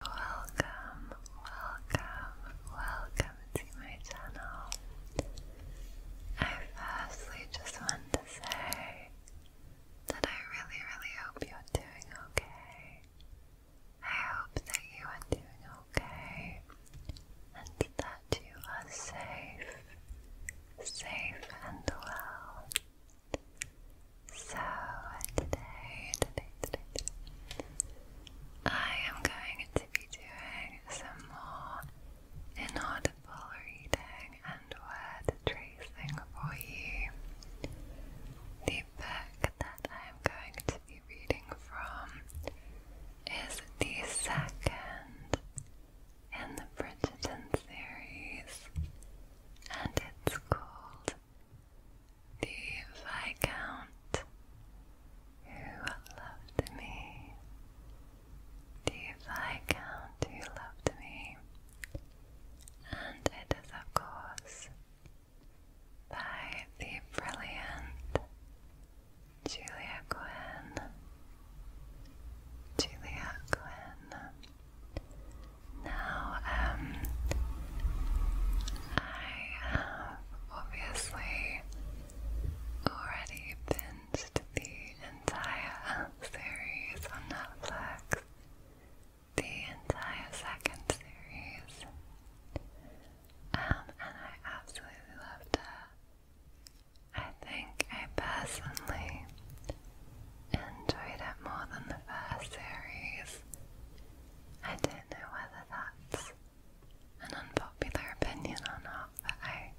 Welcome, welcome, welcome to my channel. I firstly just want to say that I really, really hope you're doing okay. I hope that you are doing okay and that you are safe, safe and well. So today, today, today, I am going to be doing some more inaudible reading and word tracing for you. The book that I am going to be reading from is the second in the Bridgerton series, and it's called the Viscount who loved me, the Viscount who loved me, and it is, of course, by the brilliant Julia Quinn. Julia Quinn. Now, um, I have obviously already binged the entire series on Netflix, the entire second series, um, and I absolutely loved it. I think I personally enjoyed it more than the first series. I don't know whether that's an unpopular opinion or not, but I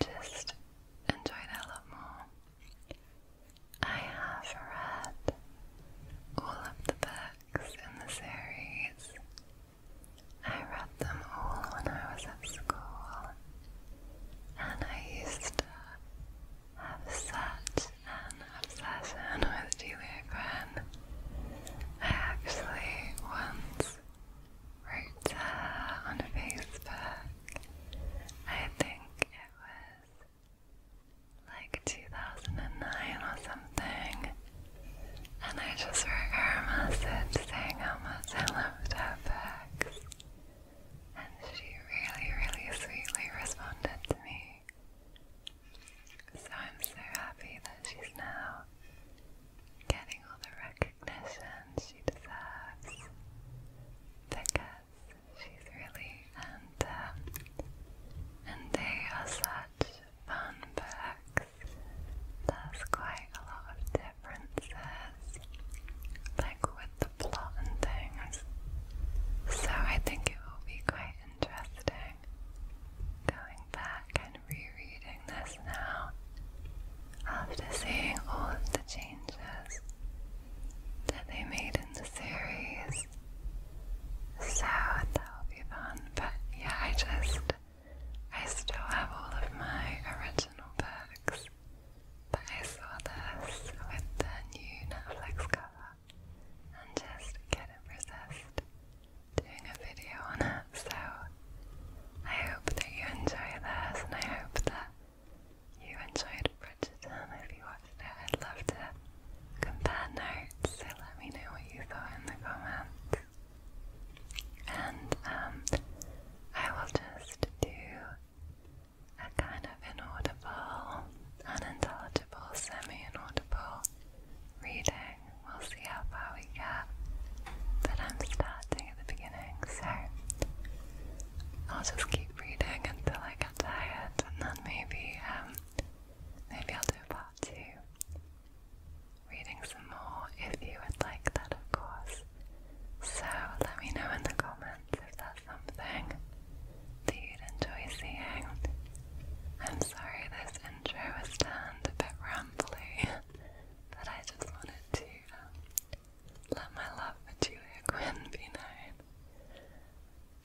just enjoyed it a lot more. I have read all of the books in the series. I read them all when I was at school, and I used to have such an obsession with Julia Quinn. I actually once wrote to her on Facebook. I think it was like 2009 or something. And I just wrote her a message saying how much I loved her books. And she really, really sweetly responded to me so I'm so happy that she's now getting all the recognition she deserves because she's really and um, and they are such fun books. There's quite a lot of differences, like with the plot and things. So I think it will be quite interesting going back and rereading this now after seeing all of the changes that they made in the series. So that'll be fun. But yeah, I just I still have all of my original books. But I saw this with the new Netflix cover and just couldn't doing a video on it. So I hope that you enjoy this, and I hope that you enjoyed Bridgerton. If you watched it, I'd love to compare notes. So let me know what you thought in the comments. And um, I will just do a kind of inaudible, unintelligible, semi-inaudible reading. We'll see how far we get. But I'm starting at the beginning, so I'll just keep reading until I get tired, and then maybe, um, maybe I'll do part two, reading some more if you would like that, of course. So let me know in the comments if that's something that you'd enjoy seeing. I'm sorry this intro was done a bit rambly, but I just wanted to um, let my love for Julia Quinn be known.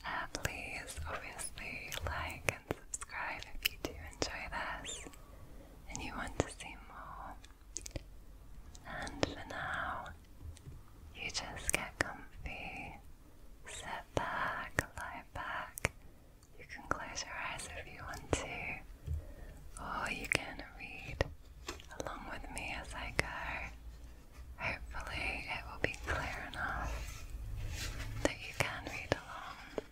At uh, least, obviously, like and subscribe if you do enjoy this and you want to see more. And for now, you just get comfy, Lie back, lie back. You can close your eyes if you want to, or you can read along with me as I go. Hopefully, it will be clear enough that you can read along.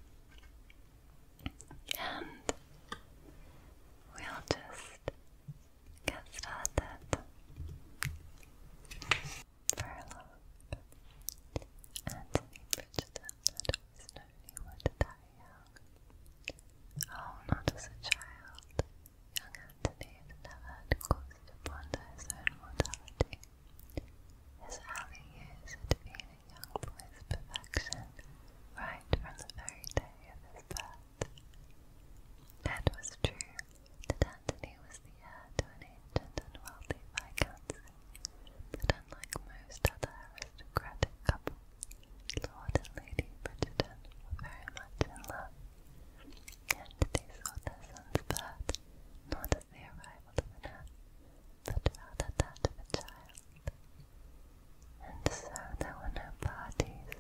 And we'll just get started furloughed. Anthony Bridgerton had always known would die young. Oh, not as a child. Young Anthony never had cause to ponder his own mortality. His early young boy's perfection, right from the very day of his birth. It was true that Antony was the heir to an ancient and wealthy viscountcy, but unlike most other aristocratic couples, Lord and Lady Bridgerton were very much in love. Antony saw their son's birth not as the arrival of an heir, but rather that of a child. And so there were no parties,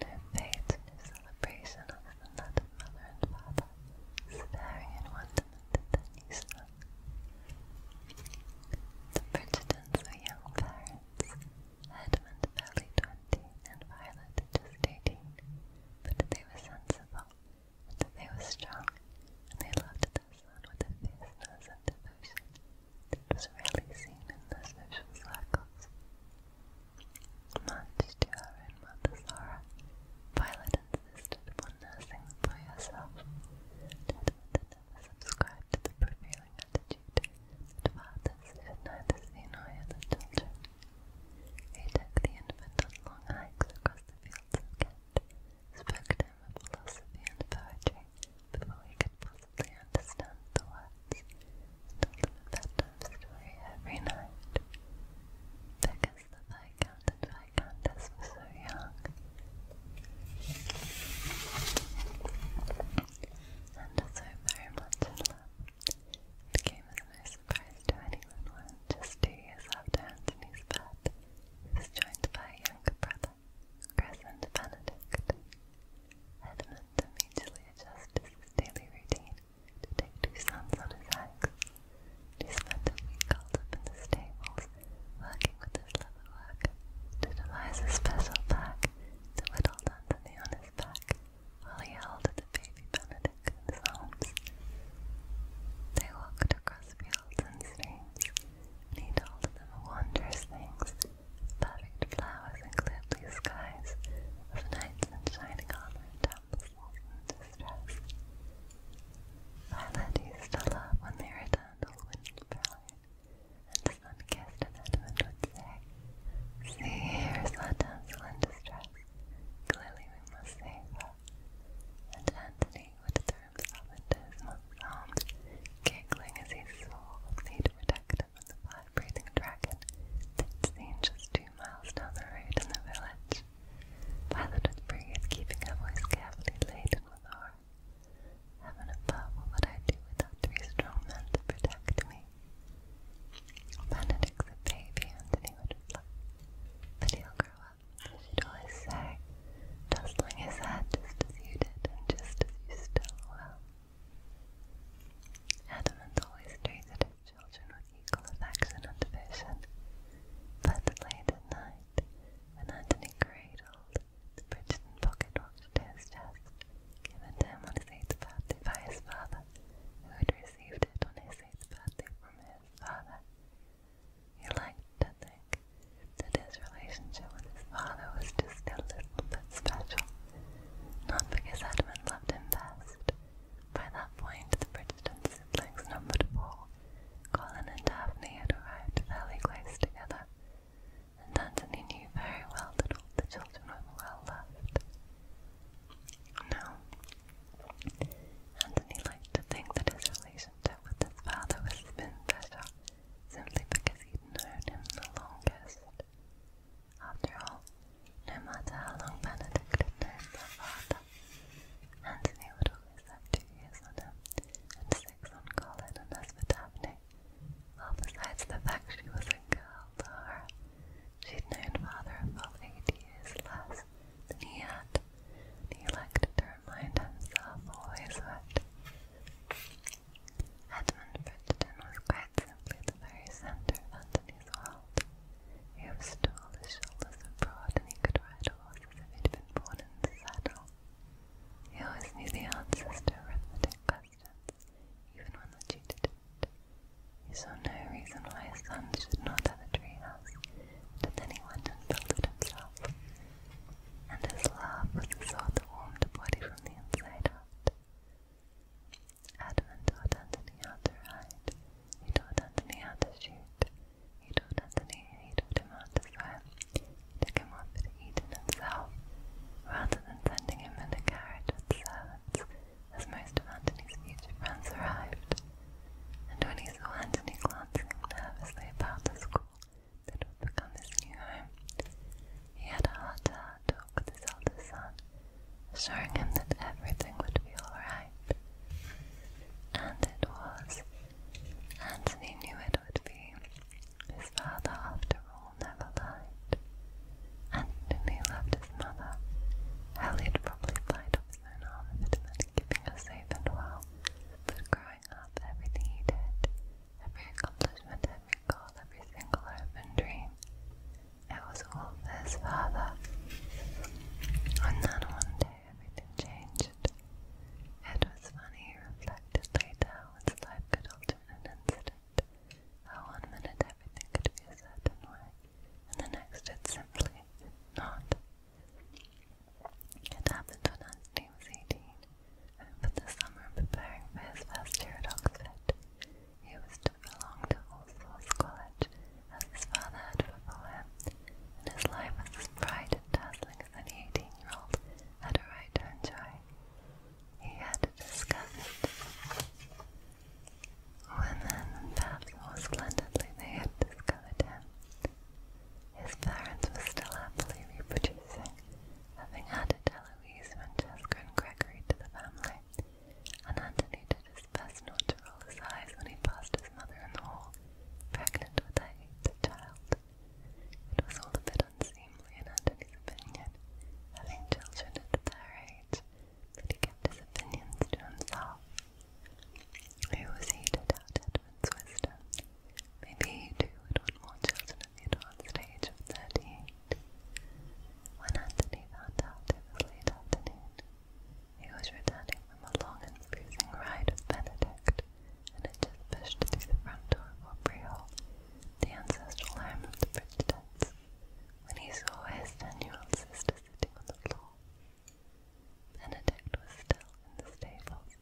no fêtes, no celebration other than that of mother and father, staring in wonder Lampedusa. The Bridgertons were young parents, Edmund barely twenty and Violet just eighteen, but they were sensible, they were strong, and they loved their son with a fierceness devotion that was rarely seen in their social circles. Much to her own mother's horror, Violet insisted upon nursing them by herself. to the prevailing attitude that fathers should neither see nor hear their children. He took the infant on long hikes across the fields of Kent, spoke to him of philosophy and poetry before he could possibly understand the words, and told bedtime story every night. Vickers the Viscount and Viscountess were so young and so very much in It came as no surprise to anyone when, just two years after Antony's birth, he was joined brother, Chris Benedict. Edmund immediately adjusted his daily routine to take two sons on his axe, he spent a week called up in the stables, working with his leather to devise a special pack to whittle Anthony on his back while he held the baby Benedict in his arms. They walked across fields and streams, and he told them wondrous things, the flowers and clear skies, of knights in shining armor temples stress. Violet love when they returned all wind and sun kissed and Edmund would say, See, here's our damsel distress. Clearly we must save her. And Antony would throw himself into his arms, giggling as he saw they'd protect from the fire-breathing dragon they seen just two miles down the road in the village. Violet Whispering is keeping her voice carefully laden with horror. Heaven above, what would I do without three strong men to protect me? Benedict's a baby, Anthony would reply. But he'll grow up, she'd always say, tossing his head just as you did and just as you still will. Adam always treated Children with equal effects in division. But late at night, when Antony cradled the Bridgeton pocket watch his chest, given to him on his eighth birthday by his father, who had received it on his eighth birthday from his father, he liked to think that his relationship with his father was just a little bit special, not because Edmund loved him best, by that point, the Bridgeton siblings numbered four. Colin and Daphne had arrived fairly close together, and Anthony knew very well that all the children were well loved. Now, Anthony liked to think that his relationship with his father was even better, simply because he'd known him the longest. After all, no matter how long Benedict had known their father, Antony would always have two years on her, and six on Colin and as for Daphne, well besides the fact she was a girl, Laura, she'd known father a eight years less than he had, he liked to remind himself always that Edmund Bridgerton was quite simply the very centre of Antony's world. He was tall, his shoulders were broad, and he could ride a horse as if he'd been born in the saddle. He always knew the answers to arithmetic questions, even when the tutor didn't. He saw no reason why his son should not have a treehouse, but then he went and built it himself. And his love was the sort that warmed a body from the inside out. Adam and taught Anthony how to he taught Anthony how to shoot. He taught Anthony, he taught him how to swim. He took him off to Eden himself, rather than sending him in a carriage with servants, as most of Anthony's future friends arrived. And when he saw Anthony glancing nervously about the school that would become his new home, he had a heart-to-heart -heart talk with his elder son, assuring him that everything would be all right. And it was. Antony knew it would be. His father, after all, never lied. he loved his mother. Elliot probably died of his own arm if it meant keeping her safe and well. But growing up, everything he did, every accomplishment, every goal, every single hope and dream, it was all for his father. And then one day, everything changed. It was funny, he reflected later how his life could alter in an instant. How one minute everything could be a certain way, and the next it simply not. It happened when Anthony was 18, over the summer preparing for his first year at Oxford. He was to belong to All College, as his father had before and his life was bright and dazzling as any eighteen-year-old had a right to enjoy. He had discovered women, perhaps more splendidly, they had discovered him. His parents were still happily reproducing, having added Eloise, Francesca, and Gregory to the family, and Anthony did it was best not to roll his eyes when he passed his mother in the hall, pregnant with a eighth child. It was all a bit unseemly in Anthony's opinion, having children at their age, but he kept his opinions to himself. Who was he to doubt Edwin's wisdom? Maybe he too would want more children at the advanced age of thirty-eight. When Anthony found out it was late afternoon, he was returning from a long and freezing ride of Benedict, and had just pushed through the front door of Aubreyhall, the ancestral home of the Bridgetons, when he saw his 10 old sister sitting on the floor. Benedict was still in the stables,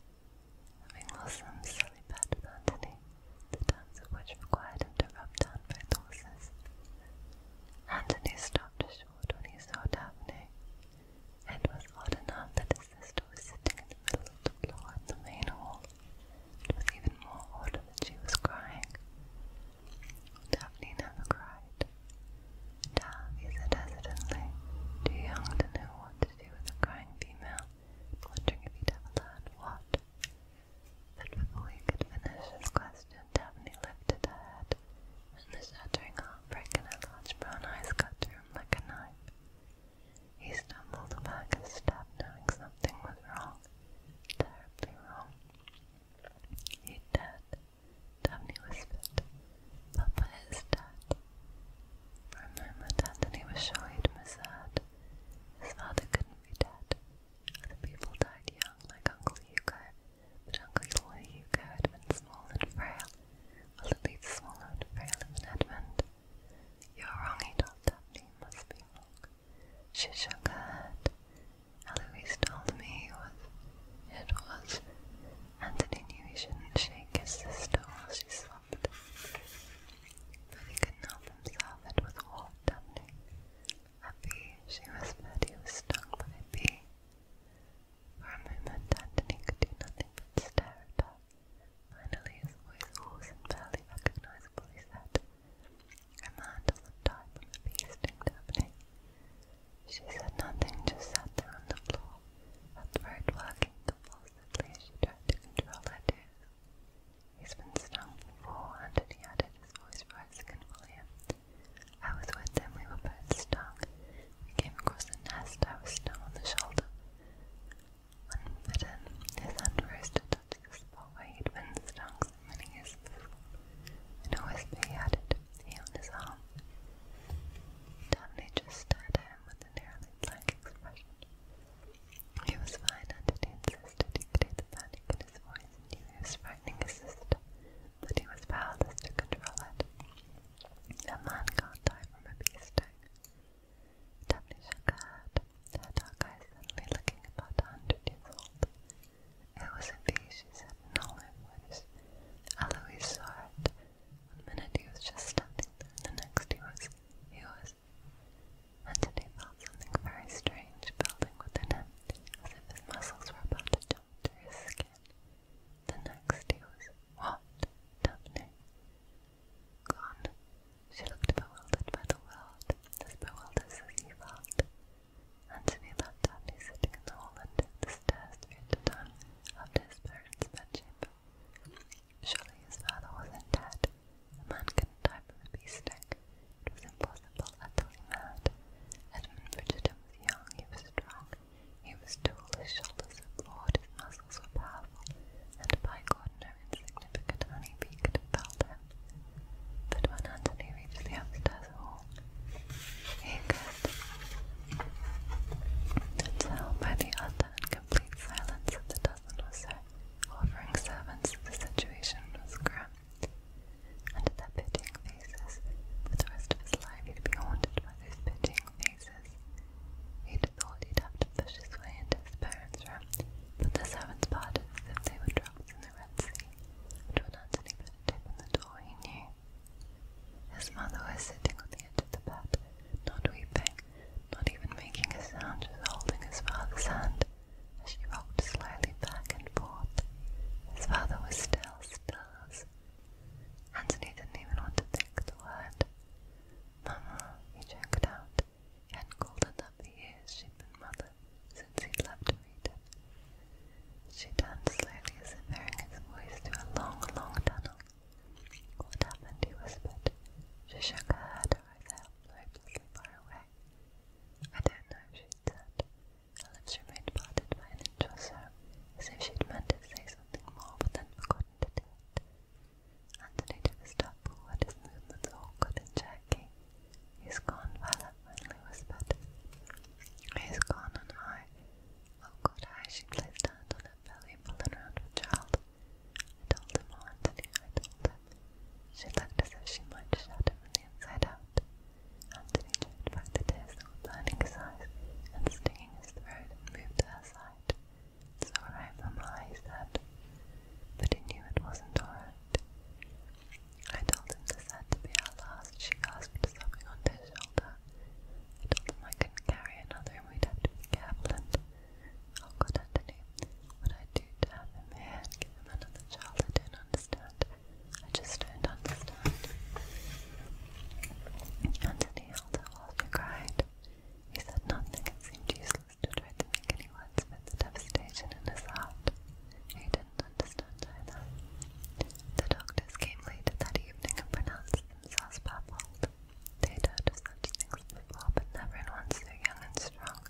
having lost some silly bet with Antony, the terms of which required him to rub down both horses. Antony stopped short when he saw Daphne, it was odd enough that his sister was sitting in the middle of the floor in the main hall. It was even more odd that she was crying. Daphne never cried. Dav, said hesitantly, too young to know what to do with a crying female, wondering if he'd ever what. But before he could finish his question, Daphne lifted her head, and the shattering brick large brown eyes cut through like a knife. He stumbled back a step, knowing something was wrong, terribly wrong. He'd dead. Daphne whispered. Papa is dead. For a moment, Anthony was sure he'd misheard. His father couldn't be dead. Other people died young, like Uncle Hugo, but Uncle Hugh had been small and frail, well at least small and frail in Edmund. You're wrong, he must be wrong. She shook her head. Eloise told me he was. It was. Anthony knew he shouldn't shake his sister while she slept. But he couldn't himself, it was all Daphne. A bee, she whispered, he was stung by a bee. For a moment Antony could do nothing but stare at her. Finally his voice, hoarse and barely recognizable, he said, A man doesn't die from a feasting, Daphne. She said nothing, just sat there on the floor, her throat working convulsively as she tried to control her tears. He's been stung before, Antony added, his voice rising in I was with them, we were both stung. We came across the nest, I was stung on the shoulder. Unbidden, his hand rose to touch the spot he'd been stung so many years before. In a whisper he added, he on his arm. Danley just stared at him with a nearly blank expression. He was fine, and he he could hear panic in his voice he was frightening his sister, he was powerless to control it. A man can't die from a bee sting. Daphne shook her head, her dark eyes suddenly looking about a hundred years old. It was a bee, she said in all her Eloise saw it. One minute he was just standing and the next he was, he was. And today felt something very strange building within him, as if his muscles were about to jump through his skin. The next he was, What? Daphne? Gone. She looked bewildered by the world, as bewildered as he felt. Antony left Daphne in the hall and took the stairs through to his parents' bedchamber. Surely his father wasn't dead. A man couldn't die from a bee stick. It was impossible, utterly mad. Edmund Bridgerton was young, he was strong, he was tall, his shoulders were broad, his muscles were powerful, and by God no insignificant honeybee could have felled him. But when he reached the upstairs hall, he could tell by the utter and complete silence that the dozen or so offering servants the situation was grim. And their pitying faces, for the rest of his life he'd be haunted by those pitying He'd thought his way into his parents' room, but the servants parted as if they were in the Red Sea, and when Anthony put open the door, he knew. His mother was sitting on the edge of the bed, not weeping, not even making a sound, just holding his father's hand as she rocked slowly back and forth. His father was still, still as Anthony didn't even want to think the word. Mama, he choked out. He hadn't called her that for years. She'd been mother since he'd left to meet her. She turned slowly as if hearing his voice through a long, long tunnel. What happened? he whispered. She shook her head, her eyes out, like hopelessly far away. I don't know, she said. Her lips were remained parted by an inch or so, as if she'd meant to say something more, but then forgotten to do it. Anthony took a step forward, his movements awkward and jerky. He's gone, Violet finally whispered. He's gone, and I. Oh God, I. She placed her hand on her belly and pulled around her child. I told him, oh, Anthony, I told him. She looked as if she might shut him from the inside out. Anthony stood by the thistle, his eyes and stinging his throat, and moved to her side. It's all right, Mamma, he said, but he knew it wasn't all right. I told him this had to be our last, she gasped, sobbing onto his shoulder. I him I couldn't carry another and we'd have to be careful and... Oh Anthony, what i do to him here and give another child, I do understand. I just don't understand. Anthony, asked often cried. He said nothing. It seemed useless to try to make any words the devastation in his heart. He didn't understand either. The doctors came later that evening and pronounced themselves baffled. They'd heard such things before, but never in one so young and strong.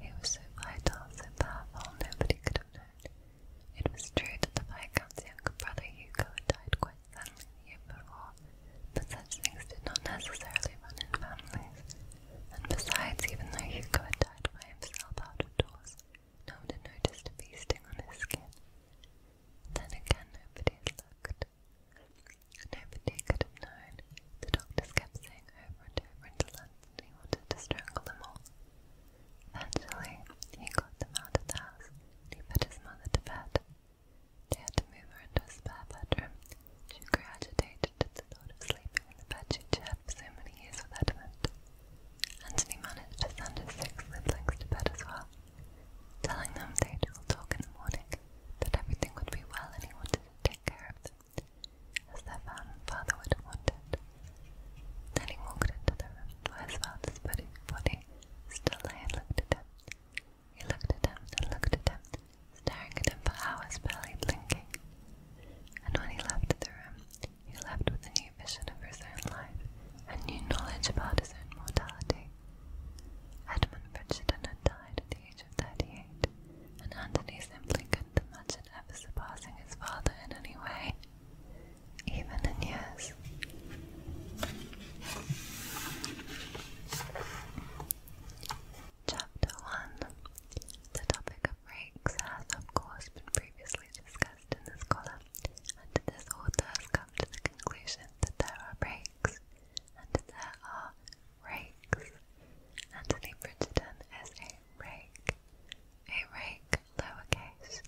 He was so vital, so powerful, nobody could have known. It was true that the Viscount's younger brother Hugo had died quite family the year before, but such things did not necessarily run in families. And besides, even though Hugo had died by himself out of doors, no one had noticed a feasting on his skin. Then again, nobody had looked. Nobody could have known. The doctors kept saying over and over until Anthony wanted to strangle them all. Eventually, he got them out of the house and he put his mother to bed. They had to move her into a spare bedroom. She grew agitated at the thought of sleeping in the bed she'd shared for so many years with Edmund. Anthony managed to send his six siblings to bed as well, telling them they'd all talk in the morning, that everything would be well and he wanted to take care of them, as their father would have wanted. Then he walked the room where his father's body Still I looked at him. He looked at him and looked at him, staring at him for hours, barely blinking. And when he left the room, he left with a new vision of his own life and new knowledge about his own mortality. Edmund Bridgerton had died at the age of thirty-eight, and Anthony simply couldn't imagine ever surpassing his father in any way even in years. Chapter 1 The topic of breaks has, of course, been previously discussed in this column, and this author has come to the conclusion that there are breaks, and there are rakes. Anthony Bridgerton is a rake. A rake, lowercase,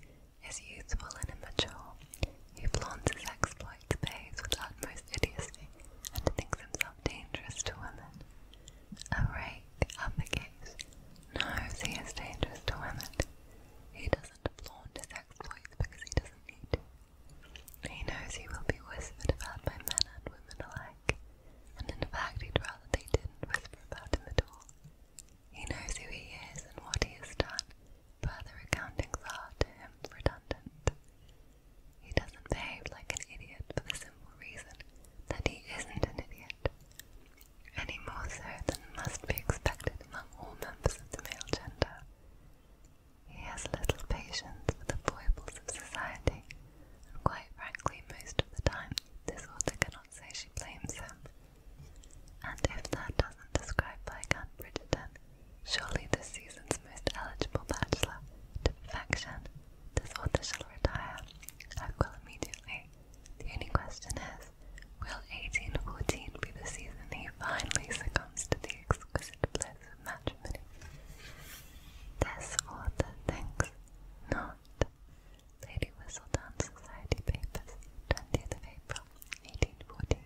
is youthful and immature, He flaunts his exploits days with utmost idiocy, and thinks himself dangerous to women. A rake advocates, knows he is dangerous to women. He doesn't flaunt his exploits because he doesn't need to. He knows he will be whispered about by men and women alike, and in fact he'd rather they didn't whisper about him at all. He knows who he is and what he has done, Further accountings are, to him, redundant. He doesn't behave like an idiot for the simple reason that he isn't an idiot, any more so than must be expected among all members of the male gender. He has little patience for the foibles of society, and quite frankly, most of the time, this author cannot say she blames him, and if that doesn't describe Viscount Bridgerton, surely this season's most eligible bachelor, to perfection, this author shall retire. I will immediately. The only question is, will 1814 be the season he finally succumbs to the exquisite bliss of matrimony? This author thinks not. Lady Whistledown Society Papers, 20th of April, 1814.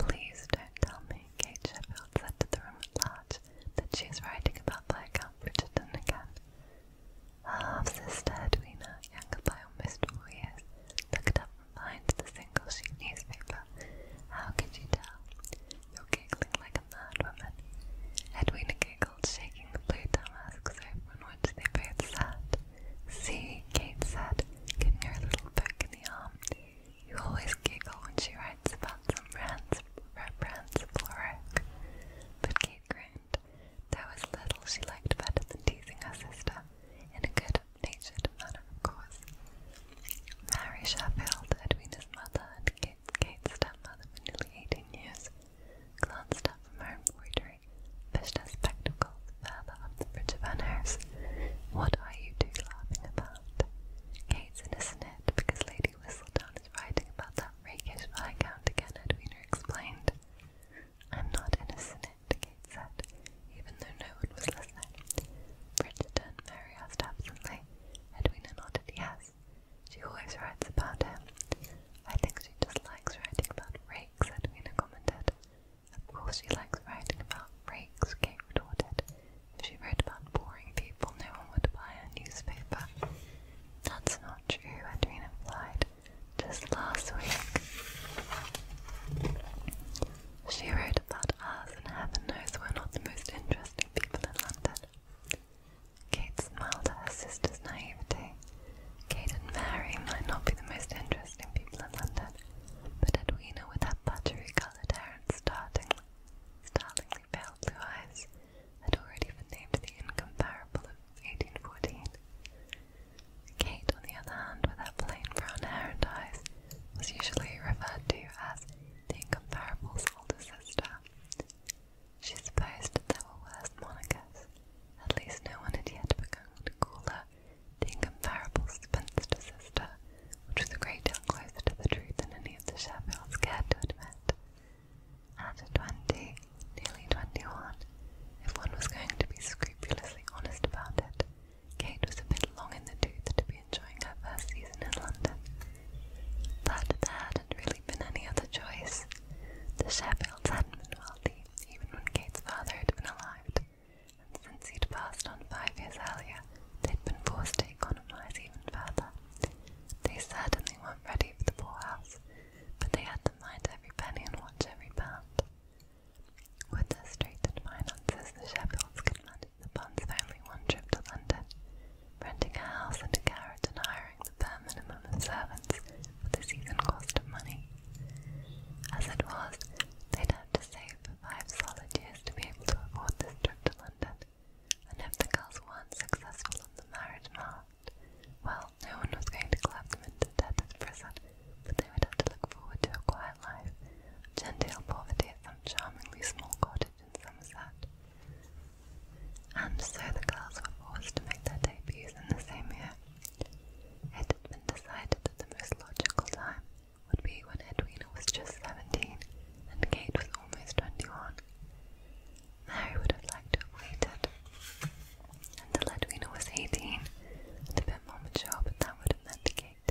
Please don't tell me, Kate Sheffield said to the room at large, that she is writing about the account Bridgerton again. Her half-sister Edwina, younger by almost four years, looked up from behind the single-sheet newspaper. How could you tell? You're like a mad Edwina giggled, shaking the blue damask sofa on which they both sat. See, Kate said, giving her little poke in the arm. You always giggle when she writes about some brands, Rembrandt's Florec. But Kate grinned. That was little she liked better than teasing her sister, in a good-natured manner, of course. Mary Sheffield had mother and Kate's, Kate's stepmother for nearly eighteen years. Glanced up from her embroidery pushed her spectacles further up the bridge of her nose. What are you two laughing about? Kate's in a snit because Lady Whistledown is writing about that rakish again, Edwina explained. I'm not in a snit, Kate said, even though no one was listening. Bridgerton, Mary asked absently. Edwina nodded yes. She always writes about him. I think she just likes writing about rakes, Edwina commented. Of course she likes writing about breaks, Kate retorted. If she wrote about boring people, no one would buy a newspaper. That's not true, Edwina replied. Just last week. She wrote about us, and heaven knows we're not the most interesting people in London. Kate smiled at her sister's naivety. Kate and Mary might not be the most interesting people in London, but Edwina, with her buttery-coloured hair and startling, startlingly pale blue eyes, had already been named the incomparable of 1814. Kate, on the other hand, with her plain brown hair and eyes, was usually referred to as the incomparable's older sister. She supposed that there were worse monikers. At least no one had yet begun to call the incomparable spinster sister, which was a great deal closer to the truth than any of the Sheffields cared to admit. At twenty, nearly twenty-one, if one was going to be scrupulously honest about it, Kate was a bit long in the tooth to be enjoying her first season in London. But there hadn't really been any other choice. The Sheffields hadn't been wealthy, even when Kate's father had been alive. Since he'd passed on five years earlier, they'd been forced to economize even further. They certainly weren't ready for the poorhouse, but they had to mind every penny and watch every pound. With their straitened finances, the Sheffields could manage the funds for only one trip to London, renting a house and a carriage and hiring the bare minimum of servants for the season cost of money. As it was, they'd to save for five solid years to be able to afford this trip to London, and if the girls weren't successful on the marriage market, well, no one was going to clap them into debtor's present, but they would have to look forward to a quiet life of genteel poverty at some charmingly small cottage in Somerset. And so the girls were forced to make their debuts in the same year. It had been decided that the most logical time would be when Edwina was just seventeen and Kate was almost twenty-one. Mary would have liked to have waited until Edwina was eighteen and a bit more mature, but that would have meant Kate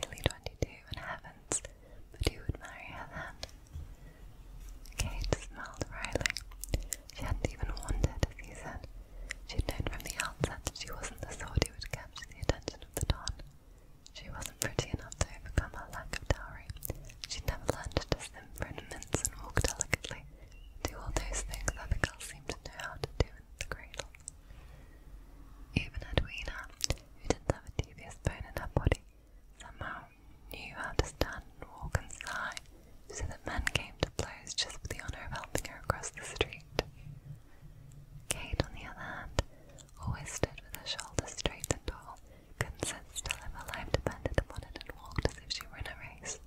nearly twenty-two and heavens, but who would marry her then? Kate smiled wryly. She hadn't even wanted a season. She'd known from the outset that she wasn't the sort she would capture the attention of the Don. She wasn't pretty enough to overcome her lack of dowry. She never learned to sim ornaments and walk delicately, do all those things that the girls seemed to know how to do in the cradle. Even Edwina, who didn't have a devious bone in her body, somehow knew how to stand and walk and sigh, so the men came to blows just for the honour of helping her across the street. Kate, on the other hand, always stood with her shoulders straight and tall, couldn't sit still if her life depended upon it, and walked as if she were in a race.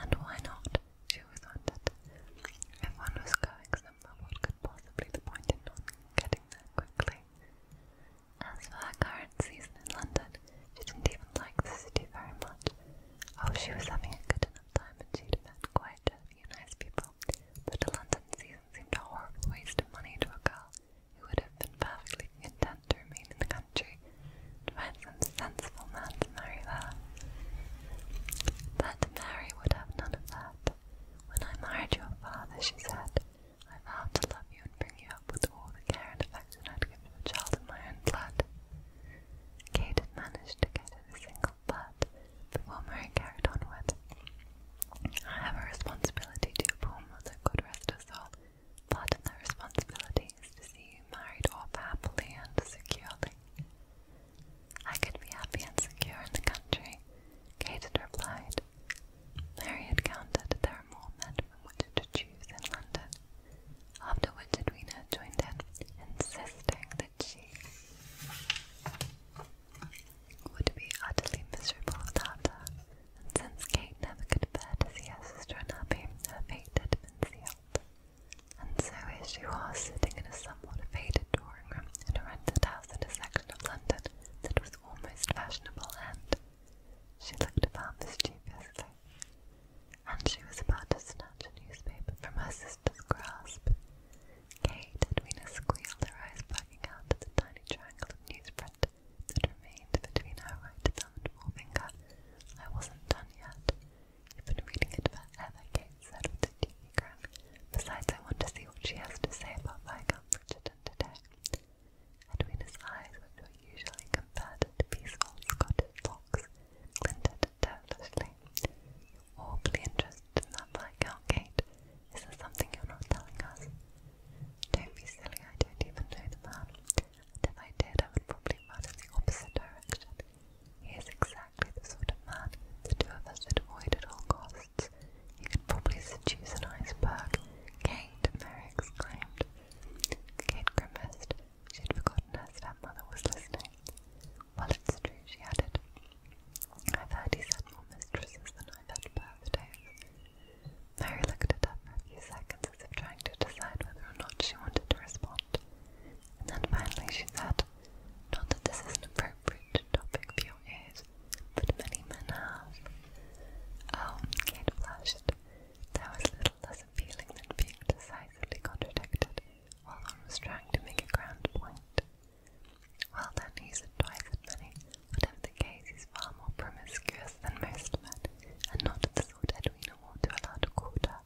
And why not? She always wondered. If one was going somewhere, what could possibly the point in not getting there quickly? As for her current season in London, she didn't even like the city very much. Oh, she was having a good enough time, and she'd met quite a you nice people, but the London season seemed a horrible waste of money to a girl who would have been perfectly content to remain in the country to find some sensible man to marry there. But Mary would have none of that. When I married your father, she said, I vowed to love you and bring you up with all the care and affection I'd give to a child of my own blood. Kate had managed to get her a single but the Wilmore carried onward. I have a responsibility to your poor mother, good rest her soul, but the responsibility is to see you married off happily and securely. I could be happy and secure in the country, Kate had replied. Mary had counted there are more men from which to choose in London. After which had joined him, insisting she? Would be utterly miserable without her, and since Kate never could bear to see her sister unhappy, her fate had been sealed. And so here she was, sitting in a somewhat faded drawing room in a rented house in a section of London that was almost fashionable, and she looked about mischievously. And she was about to snatch a newspaper from her sister's grasp Kate and Weena squealed, her eyes bugging out at the tiny triangle of newsprint that remained between her right thumb and forefinger. I wasn't done yet. You've been reading it forever, Kate said with a teeny grin. Besides, I want to see what she has to say about Viscount Bridgerton today. Edwina's eyes, which were usually converted to peaceful Scottish locks, glinted doubtlessly. you interested in that Viscount Kate. Is there something you're not telling us? Don't be silly, I don't even know the man. if I did, I would probably run in the opposite direction. He is exactly the sort of man the two of us should avoid at all costs. You could probably seduce an iceberg. Kate, Mary exclaimed. Kate grimaced. She'd forgotten her stepmother was listening. Well, it's true, she added. I've heard had more mistresses than I've had birthdays. Mary looked at her for a few seconds as if trying to decide whether or not she wanted to respond. And then finally she said, Not that this is an appropriate topic for your ears, but many men have. Oh, Kate flashed. That was a little less appealing than being decisively contradicted. Orlon was trying to make a grand point. Well then, he's twice as many. But in the case, he's far more promiscuous than most men, and not the sort Edwina ought to allow to court her.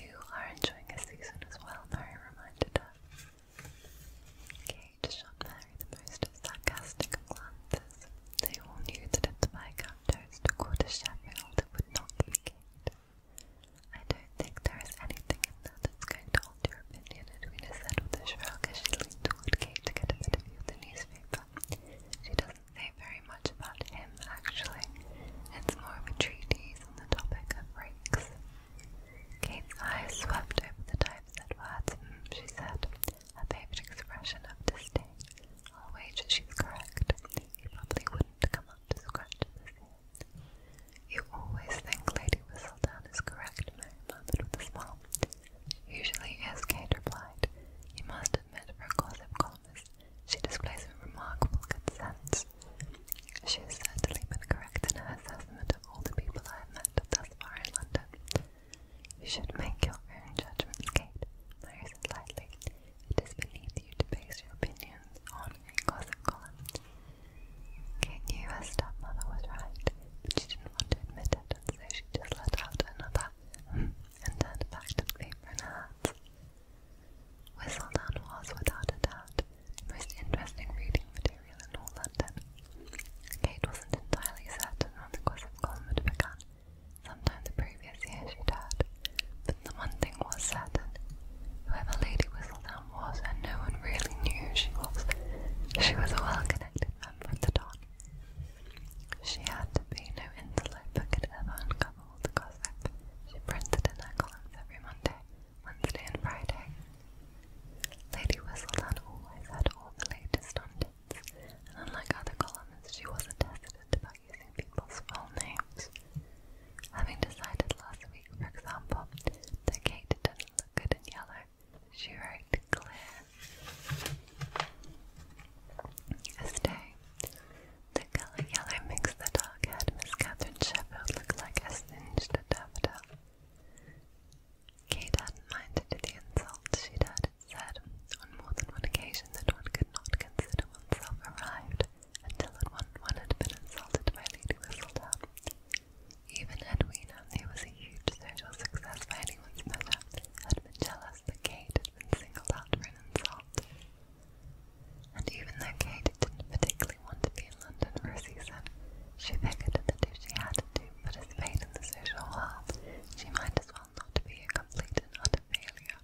You are enjoying a season as well, Mary reminded her. Kate shot Mary the most sarcastic of They all knew that if the Viscountess took to Sheffield, it would not be Kate. I don't think there is anything in there that's going to alter your opinion, Edwina said with a shrug as she leaned toward Kate to get a better view the newspaper. She doesn't say very much about him, actually. It's more of a treatise on the topic of rakes. Kate's eyes swept over the typeset words, she said, her favourite expression of disdain. i she's correct. He probably wouldn't come up to scratch you always think Lady Whistledown is correct, Mary murmured with a smile. Usually is, Kate replied. You must admit, for gossip columnist, she displays a remarkable good sense. She has certainly been correct in her assessment of all the people I have met thus far in London. You should make your own judgments, Kate, Mary said lightly. It is beneath you to base your opinions on in gossip columns. Kate knew her stepmother was right, but she didn't want to admit it, and so she just let out another and turned back to the paper in her hands. Whistledown was, without a doubt, the most interesting reading material in all London. Kate wasn't entirely certain when the gossip column had begun. Sometime the previous year she'd heard, but the one thing was certain. Whoever Lady Whistledown was, and no one really knew who she was. She was a well-connected member of the Don. She had to be no interloper could ever uncover all the gossip. She printed in her columns every Monday, Wednesday, and Friday. Lady Whistledown always had all the latest on and unlike other columnists, she wasn't hesitant about using people's full names. Having decided last week, for example, that Kate does not look good in yellow, she wrote clear. As the colour yellow makes the dark-haired Catherine Sheffield look like a singed daffodil. Kate hadn't minded the insults she'd said on more than one occasion that one could not consider oneself arrived until one one had been insulted by Lady Whistledown. Even Edwina, who was a huge social success by anyone's measure, had been jealous that Kate had been singled out for an insult. And even though Kate didn't particularly want to be in London for a season, she figured that if she had to a participate in the social world, she might as well not be a complete and utter failure.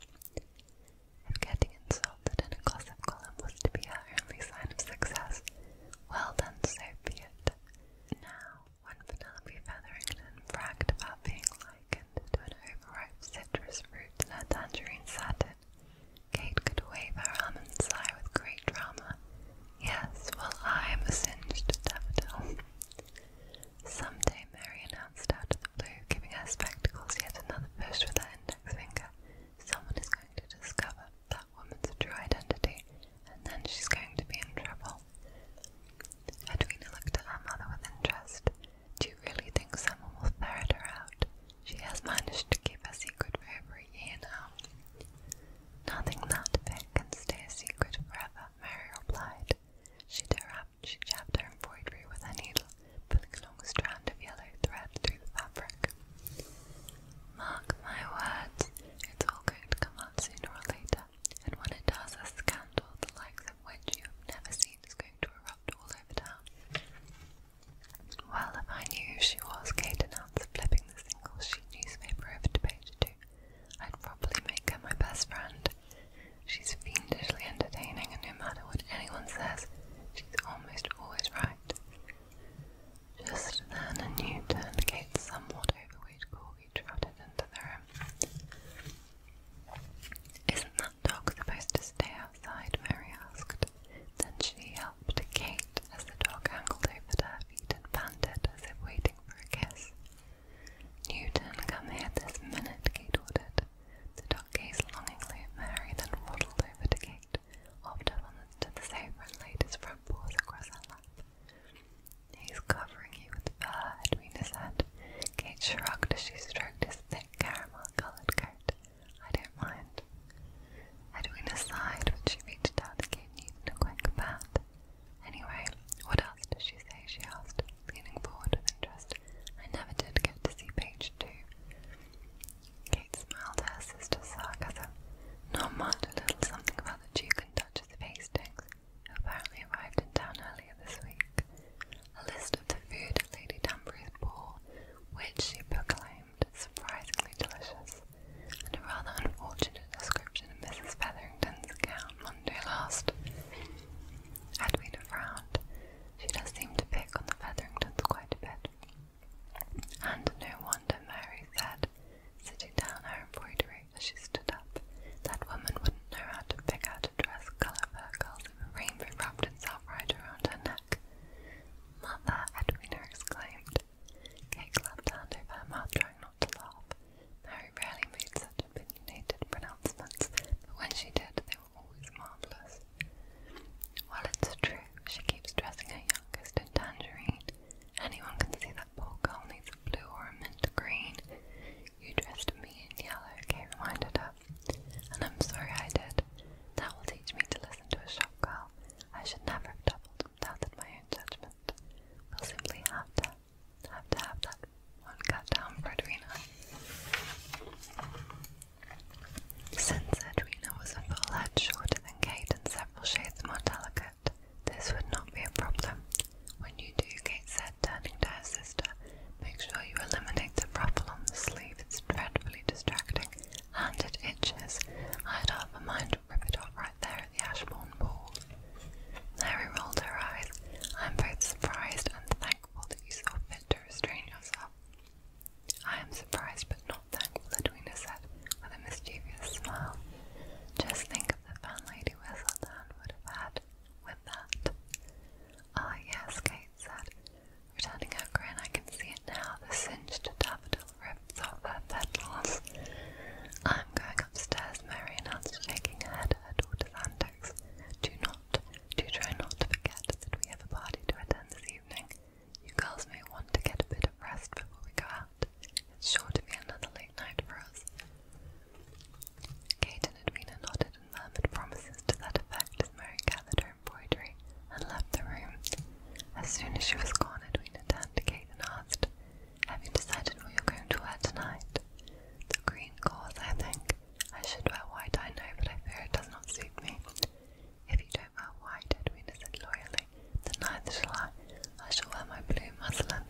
If getting insulted in a gossip column was to be her only sign of success, well done, so be Now, when Penelope Featherington bragged about being likened to an overripe citrus fruit in a tangerine satin, Kate could wave her arm and sigh with great drama. Yes, well, I am a singed daffodil. day, Mary announced out of the blue, giving her spectacles yet another push with her index finger someone is going to discover that woman's true identity, and then she's going to be in trouble. Edwina looked at her mother with interest. Do you really think someone will ferret her out? She has managed to keep a secret for every year now. Nothing that big can stay a secret forever, Mary replied. She, she jabbed her embroidery with a needle pulling along a strand of yellow thread through the fabric. Mark my words, it's all going to come out sooner or later, and when it does, a scandal the likes of which you have never seen is going to erupt all over town. Well, if I knew who she was, Kate announced, flipping the single sheet newspaper over to page two, I'd probably make her my best friend. She's fiendishly entertaining, and no matter what anyone says, she's almost always right. Just then, a new turncoat, somewhat overweight corgi trotted into the room. Isn't that dog supposed to stay outside? Mary asked. Then she helped Kate as the dog angled over to her feet and panted as if waiting for a kiss. Newton, come here this minute, Kate ordered. The dog gazed longingly at Mary, then waddled over to Kate. Hopped up onto the sofa and laid his front paws across her lap. He's covering you with fur, Edwina said. Kate shrugged as she stroked his thick caramel-coloured coat. I don't mind. Edwina sighed when she reached out and gave Newton a quick pat. Anyway, what else does she say? she asked, leaning forward with interest. I never did get to see page two. Kate smiled at her sister's sarcasm. Norm marked a little something about the Duke and Duchess of Hastings, who apparently arrived in town earlier this week. A list of the food at Lady Danbury's ball, which she proclaimed surprisingly delicious, and a rather unfortunate description of Mrs. Featherington's gown Monday last. Edwina frowned. She does seem to pick on the Featheringtons quite a bit. And no wonder, Mary said, sitting down her embroidery as she stood up. That woman wouldn't know how to pick out a dress colour for her girls a rainbow wrapped itself right around her neck. Mother, Edwina exclaimed. Kate clapped her hand over her mouth, trying not to laugh. Mary rarely made such opinionated pronouncements, but when she did, they were always marvellous. Well, it's true, she keeps dressing her youngest in tangerine. Anyone can see that poor girl needs a blue or a mint green. You dressed me in yellow, Kay reminded her. And I'm sorry I did. That will teach me to listen to a shop girl. I should never have doubled doubted my own judgment. We'll simply have to have to have that one cut down for since Edwina was a full head shorter than Kate and several shades more delicate, this would not be a problem. When you do, Kate said, turning to her sister, make sure you eliminate the ruffle on the sleeve. It's dreadfully distracting, and it itches. I had half a mind to rip it off right there at the Ashbourne Ball. Mary rolled her eyes. I'm both surprised and thankful that you saw fit to restrain yourself. I am surprised but Stop that, Litwina said with a mischievous smile. Just think of the fun Lady Whistledown would have had with that. Ah, yes, Kate said, returning her grin. I can see it now, the singed daffodil rips off her petals. I'm going upstairs, Mary announced, shaking her her daughter's antics. Do not, do try not to forget that we have a party to attend this evening. You girls may want to get a bit of rest before we go out. It's sure to be another late night for us. Kate and Edwina nodded and murmured promises to that effect as Mary gathered her embroidery and left the room. As soon as she was gone, Edwina turned to Kate and asked, Have you decided what you're going to wear tonight? The green gauze, I think. I should wear white, I know, but I fear it does not suit me. If you don't wear white, Edwina said loyally, then neither shall I. I shall wear my blue muslin.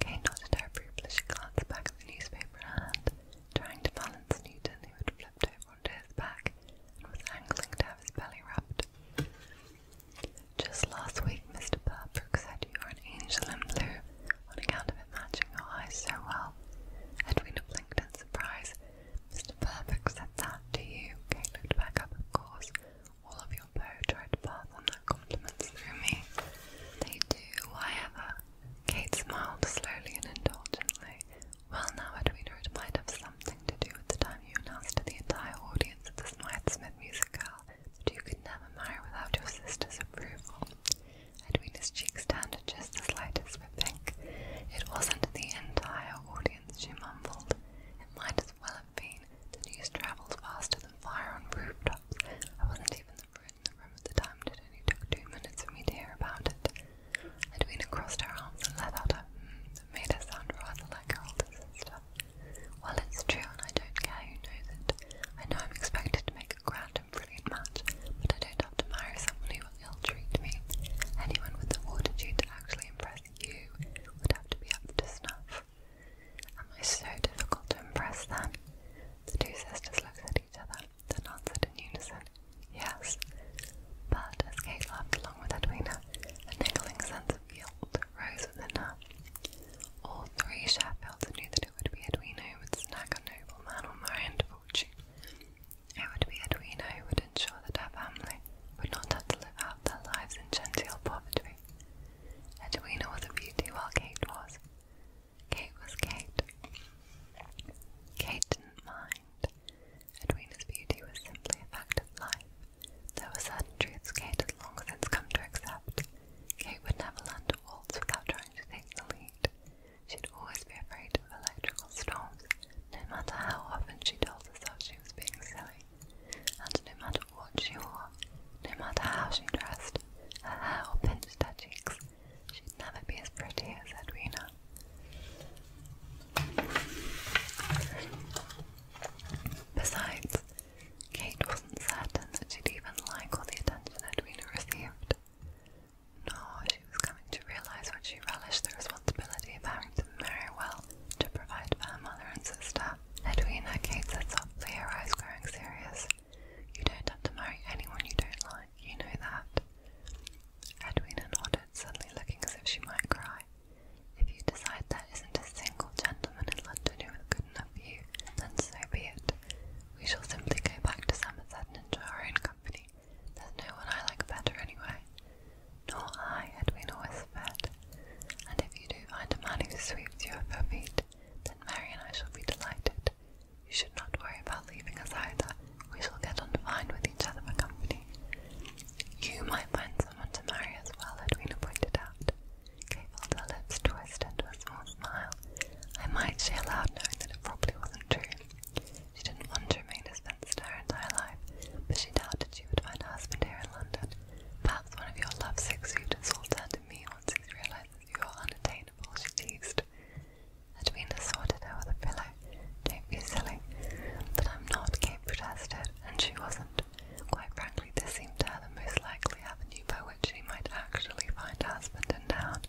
Kate nodded her approval she glanced back at the newspaper hand, trying to balance Newton, who had flipped over onto his back and was angling to have his belly rubbed. Just last week, Mr. Burbrook said you are an angel in blue on account of it matching your eyes so well. Edwina blinked in surprise, Mr. Perfect said that to you. Kate looked back up, of course. All of your beaux try to pass on their compliments through me. They do, however. Kate smiled slowly and indulgently. Well, now, Edwina, it might have something to do with the time you announced to the entire audience at the Smythe Smith Music Hall that you could never marry without your sister's approval. Edwina's cheeks turned just the slightest with pink. It wasn't the entire audience she mumbled. It might as well have been. The news travels faster than fire on rooftops. I wasn't even the in the room at the time, it only took two minutes for me to hear about it. Edwina crossed her arms and let out a hmm that made her sound rather like her older sister. Well, it's true, and I don't care who knows it. I know I'm expected to make a grand and brilliant match, but I don't have to marry somebody who will ill treat me. Anyone with the fortitude to actually impress you would have to be up to snuff. Am I so difficult to impress then? The two sisters looked at each other, then answered in unison, Yes. But as Kate laughed along with Edwina, a niggling sense of guilt rose within her. All three Sheffields knew that it would be Edwina who would snag a noble or marry fortune. It would be Edwina who would ensure that her family would not have to live out their lives in genteel poverty. Edwina was a beauty while Kate was. Kate was Kate. Kate didn't mind. Edwina's beauty was simply a fact of life. There were certain truths Kate had long since come to accept. Kate would never learn to waltz without trying to take the lead. She'd always be afraid of electrical storms no matter how often she told herself she was being silly, and no matter what she wore, no matter how she dressed, her hair or pinched her cheeks, she'd never be as pretty as Edwina. Besides, Kate wasn't certain that she'd even like all the attention Edwina received. No, she was coming to realise what she relished the responsibility of parenting very well to provide for mother and sister. Edwina Kate said softly, eyes growing serious. You don't have to marry anyone you don't like, you know that. Edwina nodded, suddenly looking as if she might cry. If you decide there isn't a single gentleman in London who is good enough for you, then so be it. We shall simply go back to Somerset and enjoy our own company. There's no one I like better anyway nor I had been fed, and if you do find a man who sweeps you off your feet, then Mary and I shall be delighted. You should not worry about leaving us either. We shall get on fine with each other for company. You might find someone to marry as well, Edwina pointed out. Kate lips twist into a small smile. I might, she allowed, knowing that it probably wasn't true. She didn't want to remain a spinster her entire life, but she doubted she would find a husband here in London. Perhaps one of your love-sick suitors will turn to me once he realizes you are unattainable, she teased. Edwina sorted her with a pillow. Don't be silly. But I'm not, Kate protested, and she wasn't. Quite frankly, this seemed to her the most likely avenue by which she might actually find a husband in town.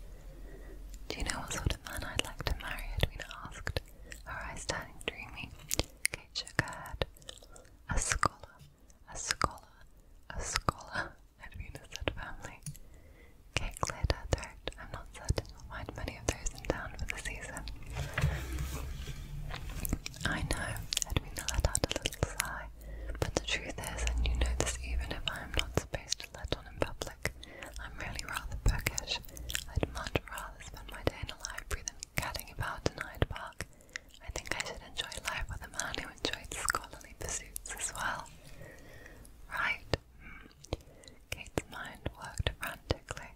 Do you know what sort of man I'd like to marry? Edwina asked, her eyes turning dreamy. Kachagad, a scholar, a scholar, a scholar, and Venus's family. Kate cleared her throat. I'm not certain we'll find many of those in town for the season. I know, Edwina let out a little sigh, but the truth is, and you know this even if I am not supposed to let on in public, I'm really rather bookish. I'd much rather spend my day in a library than about in Hyde Park, I think I should enjoy life with a man who enjoyed scholarly pursuits as well. Right. Hmm. Kate's mind worked frantically.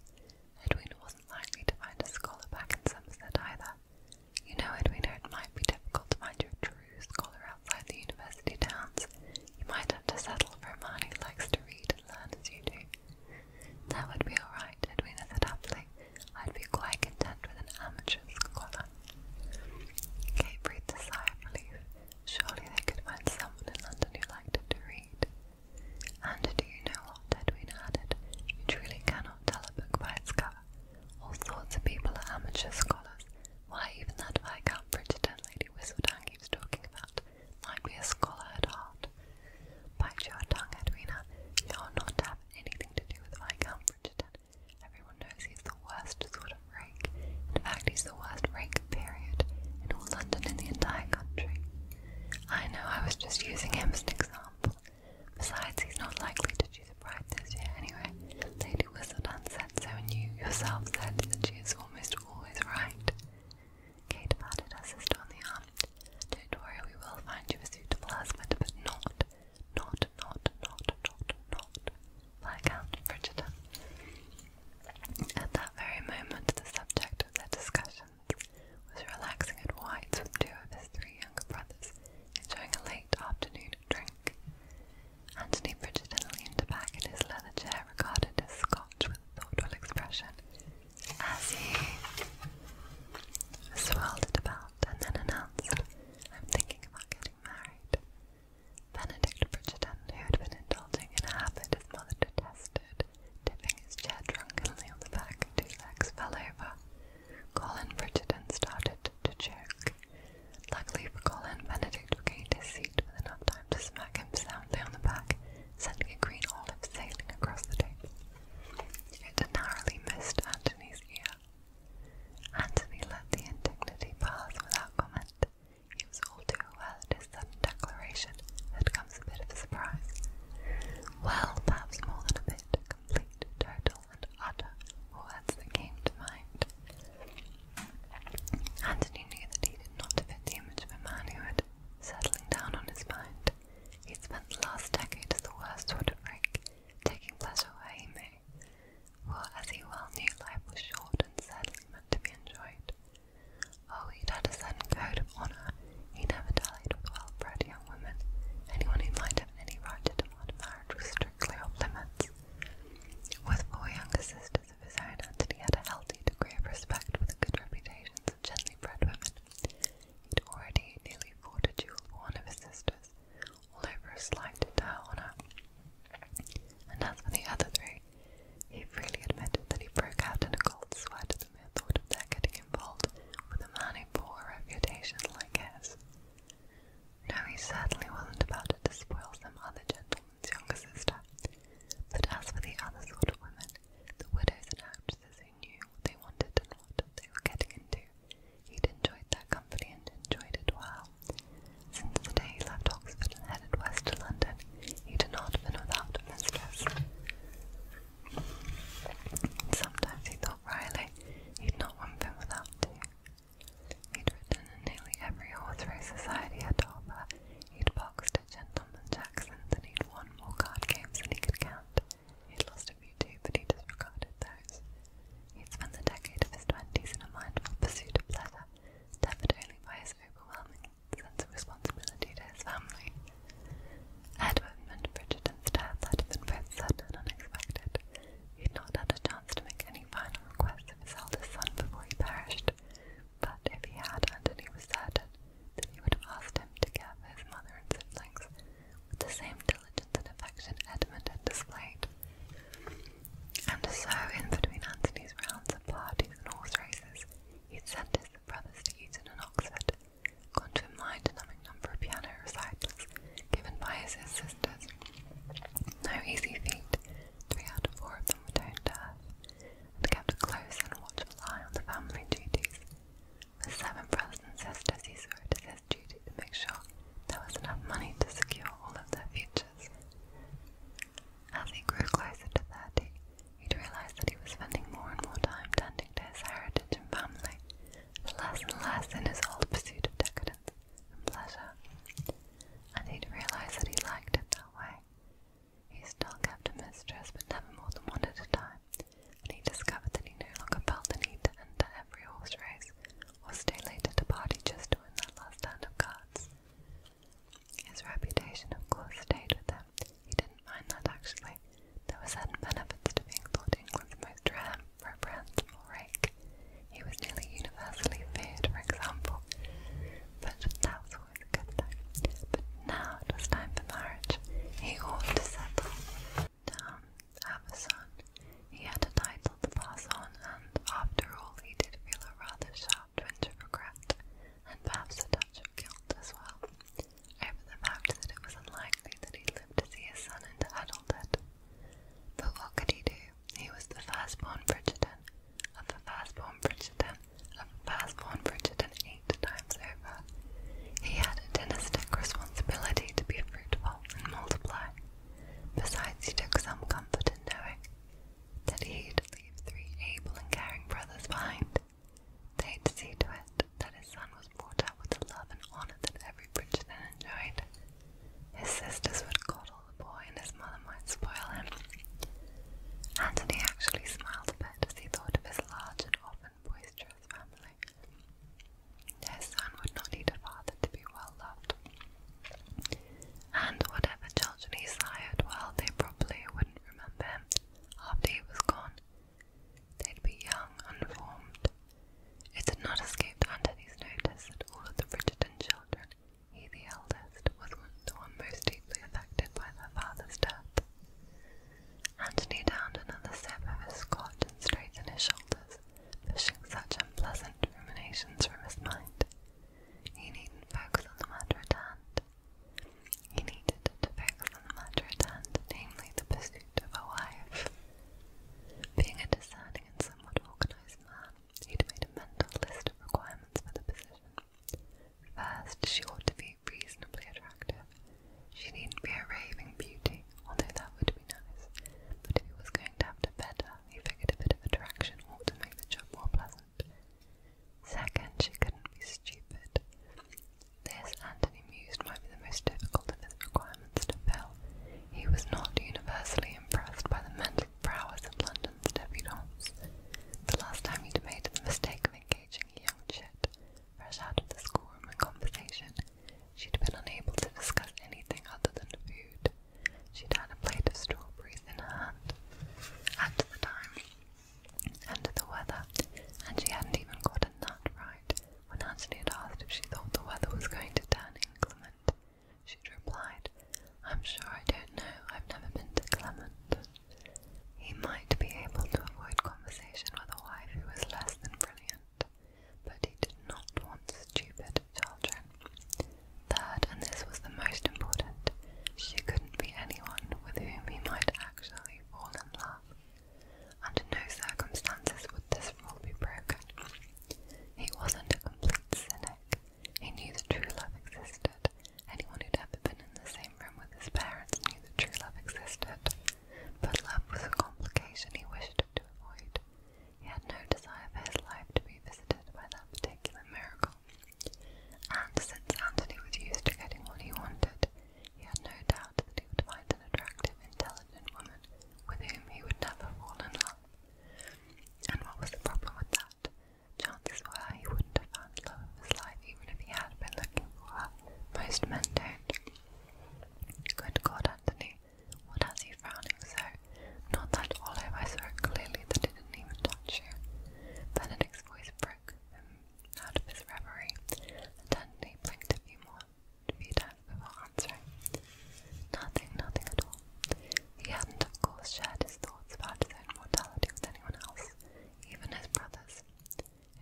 Edwina wasn't likely to find a scholar back in Somerset either. You know, Edwina, it might be difficult to find you true scholar outside the university towns. You might have to settle for a man who likes to read and learn as you do. That would be alright, Edwina said happily. I'd be quite content with an amateur scholar. Kate breathed a sigh of relief. Surely they could find someone in London who liked it to read. And do you know what, Edwina added? You truly cannot tell a book by its cover. All sorts of people are amateur scholars. Why, even that Viscount Bridgerton lady Whistledown keeps talking about might be a scholar at heart. Bite your tongue, Edwina. You're not to have anything to do with my Bridgerton. Everyone knows he's the worst sort of rake. In fact, he's the worst rake, period, in all London and the entire country. I know I was just using him as an example. Besides, he's not likely to do the bride this year anyway. Lady Whistledown said so, and you yourself said that she is almost always right. Kate patted her sister on the arm. Don't worry, we will find you a suitable husband, but not, not, not, not, not, not, Viscount Bridgerton. At that very moment, the subject of their discussions was relaxing at White's with two of his three younger brothers, enjoying a late afternoon drink. Anthony Bridgerton leaned back in his leather chair, regarded his scotch with thoughtful expression, as he swirled it about and then announced, I'm thinking about getting married. Benedict Bridgerton, who had been indulging in a habit his mother detested, tipping his chair drunkenly on the back two legs fell over. Colin Bridgerton started to choke. Luckily Colin, Benedict regained his seat with enough time to smack him soundly on the back sending a green olive sailing across the table. It narrowly missed Antony's ear. Antony let the indignity pass without comment. He was all too aware that his sudden declaration had come a bit of a surprise. Well, perhaps more than a bit, complete, total, and utter were words that came to mind. Antony knew that he did not fit the image of a man who had, settling down on his mind, he spent the last decade as the worst sort of rake, taking pleasure where he may, for as he well knew life was short and sadly meant to be enjoyed. Oh, he'd had a certain code of honour, he never dallied with well-bred young women, anyone who might have any right to demand marriage was strictly off limits. With four younger sisters of his own, Anthony had a healthy degree of respect for the good reputations of gently bred women He'd already nearly courted a duel one of his sisters, all over a slight to her honour. And as for the other three, he freely admitted that he broke out in a cold sweat at the mere thought of their getting involved with a money, poor bore a reputation like his. No, he certainly wasn't about to despoil some other gentleman's younger sister. But as for the other sort of women, the widows and actresses who knew what they wanted and what they were getting into. He'd enjoyed that company and enjoyed it well. Since the day he left Oxford and headed west to London, he'd not been without a Sometimes he thought Riley, he'd not once been without he He'd ridden in nearly every horse race society had to offer. He'd boxed Gentleman Jackson that he'd won more card games than he could count. He'd lost a few too, but he disregarded those. He'd spent the decade of his twenties in a mindful pursuit of pleasure, tempered only by his overwhelming sense of responsibility to his family. Edward and Bridgerton's death had been both sudden and unexpected. He'd not had a chance to make any final requests of his eldest son before he perished, but if he had, and he was certain, that he would have asked him to care for his mother and siblings with the same diligence and affection Edmund had displayed. And so, in between Antony's rounds of parties and horse races, he had sent his brothers to Eton and Oxford, gone to a mind-numbing number of piano recitals given by his, his sisters. No easy feat, three out of four of them were tone deaf, and kept a close and watchful eye on the family duties. The seven brothers and sisters, he saw it his duty to make sure there was enough money to secure all of their futures. As he grew closer to thirty, realized that he was spending more and more time tending to his heritage and family, less and less in his old pursuit of decadence and pleasure. And he'd realized that he liked it that way. He still kept a mistress, but never more than one at a time, and he discovered that he no longer felt the need to enter every horse race or stay late at a party just to win that last hand of cards. His reputation, of course, stayed with him. He didn't mind that actually. There were certain benefits to being thought England's most reprehensible rake. He was nearly universally feared, for example, but that was always a good thing. Now it was time for marriage. He ought to settle down, have a son. He had a title to pass on, and after all, he did feel a rather sharp twinge of regret, and perhaps a touch of guilt as well, over the fact that it was unlikely that he'd live to see his son into adulthood. But what could he do? He was the first-born Bridgerton, of the firstborn Bridgerton, of the first-born Bridgerton eight times over. He had a dynastic responsibility to be fruitful and multiply. Besides, he took some comfort in knowing that he'd leave three able and caring brothers behind. They'd see to it that his son was brought up with the love and honor that every Bridgerton enjoyed. His sisters would coddle the boy, and his mother might spoil him. Antony actually smiled a bit as he thought of his large and often boisterous to his family. His son would not need a father to be well loved. And whatever children he sired, well, they probably wouldn't remember him after he was gone. They'd be young, unformed. It had not escaped Antony's notice that all of the Bridgerton children, he the eldest, was the one most deeply affected by their father's death. And he downed another sip of his scotch and straightened his shoulders, pushing such unpleasant ruminations from his mind. He needn't focus on the matter at hand. He needed to focus on the matter at hand, namely the pursuit of a wife. Being a discerning and somewhat organized man, he'd made a mental list of requirements for the position. First, she ought to be reasonably attractive. She needn't be a raving beauty, although that would be nice. But if he was going to have to bed her, he figured a bit of attraction ought to make the job more pleasant. Second, she couldn't be stupid. This, Anthony mused, might be the most difficult of his requirements to fill. He was not universally impressed by the mental prowess of London's debutantes. The last time he'd made the mistake of engaging a young chit Fresh out of the schoolroom conversation, she'd been unable to discuss anything other than food. She'd had a plate of strawberries in her hand at the time, and the weather, and she hadn't even got a nut right when Anthony had asked if she thought the weather was going to turn inclement. She'd replied, I'm sure I don't know, I've never been to Clement. He might be able to avoid conversation with a wife who was less than brilliant, but he did not want stupid children. Third, and this was the most important, she couldn't be anyone with whom he might actually fall in love. Under no circumstances would this rule be broken. He wasn't a complete cynic. He knew that true love existed. Anyone who'd ever been in the same room with his parents knew that true love existed. But love was a complication he wished to avoid. He had no desire for his life to be visited by that particular miracle. And since Antony was used to getting what he wanted, he had no doubt that he would find an attractive, intelligent woman with whom he would never fall in love. And what was the problem with that? Chances were he wouldn't have found love in his life even if he had been looking for it. Most men don't. Good God, Anthony, what has you frowning so? Not that olive, I saw clearly that it didn't even touch you. Benedict's voice broke him out of his reverie, Anthony blinked a few more few times before answering. Nothing, nothing at all. He hadn't, of course, shared his thoughts about his own mortality with anyone else, even his brothers.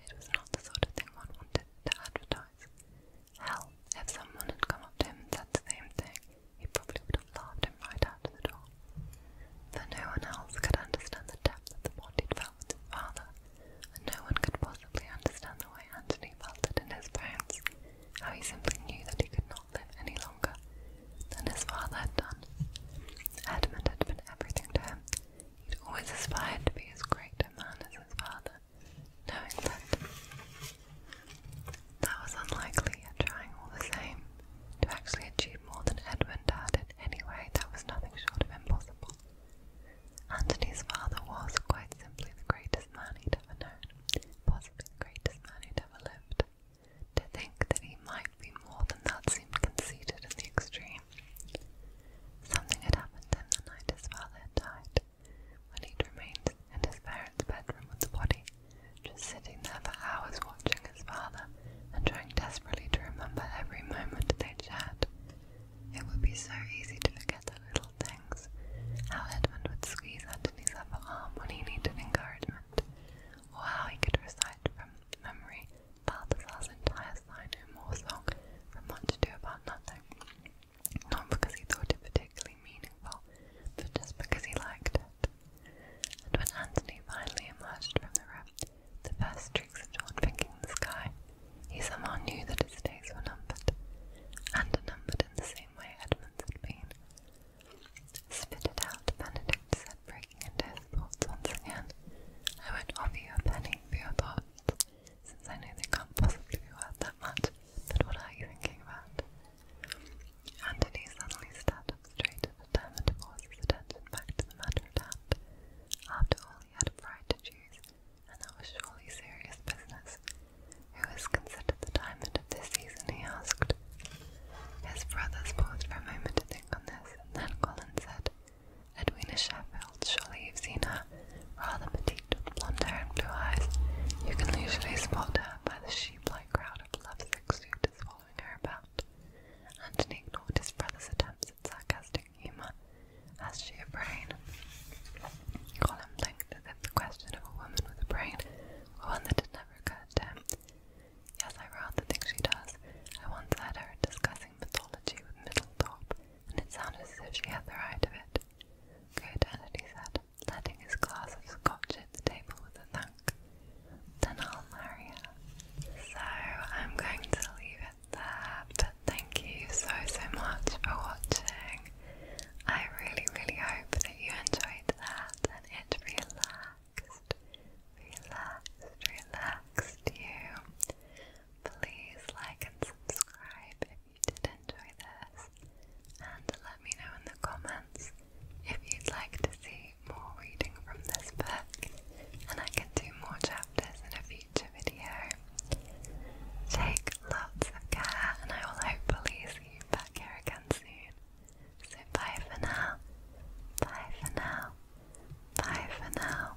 It was not the sort of thing one wanted to advertise. Hell, if someone had come up to him and said the same thing, he probably would have laughed him right out of the door. For no one else could understand the depth of the bond he'd felt with his father, and no one could possibly understand the way Antony felt it in his bones, how he simply knew that he could not live any longer than his father had done. Edmund had been everything to him. He'd always aspired to be as great a man as his father, knowing that that was unlikely, yet trying all the same. To actually achieve more than Edmund had in any way, that was nothing short of impossible. Antony's father was, quite simply, the greatest man he'd ever known, possibly the greatest man who'd ever lived. To think that he might be more than that seemed conceited in the extreme memory. Something had happened to him the night his father had died, when he'd remained in his parents' bedroom with the body, just sitting there for hours watching his father and trying desperately to remember every moment they'd shared. It would be so easy to forget the little things, how Edmund would squeeze Anthony's upper arm when he needed encouragement, or how he could recite from memory Balthazar's entire Sign No More song from Much Ado About Nothing, not because he thought it particularly meaningful, but just because he liked it. And when Anthony finally emerged from the room, the first streaks of dawn pinking the sky, he somehow knew that his days were numbered, and numbered in the same way Edmund's had been. Spit it out, Benedict said, breaking into his thoughts once again. I won't offer you a penny for your thoughts. Since I know they can't possibly be worth that much, but what are you thinking about? Antony suddenly sat up straight and determined to attention back to the matter at hand. After all, he had a bride to choose, and that was surely serious business. Who is considered the diamond of this season? he asked. His brothers paused for a moment to think on this, and then Colin said, Edwina Sheffield, surely you've seen her, rather petite with blonde hair and blue eyes. You can usually spot her by the sheep-like crowd of love lovesick suitors following her about. Antony ignored his brother's attempts at sarcastic humour. Has she a brain? Colin blinked as if the question of a woman with a brain one that had never occurred him. Yes, I rather think she does. I once heard her discussing mythology with Middlethorpe, and it sounded as if she had the right of it. Good, Kennedy said, letting his glass of scotch hit the table with a thunk. Then I'll marry her. So I'm going to leave it there, but thank you so, so much for watching. I really, really hope that you enjoyed that and it relaxed, relaxed, relaxed you. Please like and subscribe if you did enjoy this, and let me know in the comments if you'd like to see more reading from this book, and I can do more chapters in a future video. Take lots of care, and I will hopefully see you back here again soon. So bye for now, bye for now, bye for now,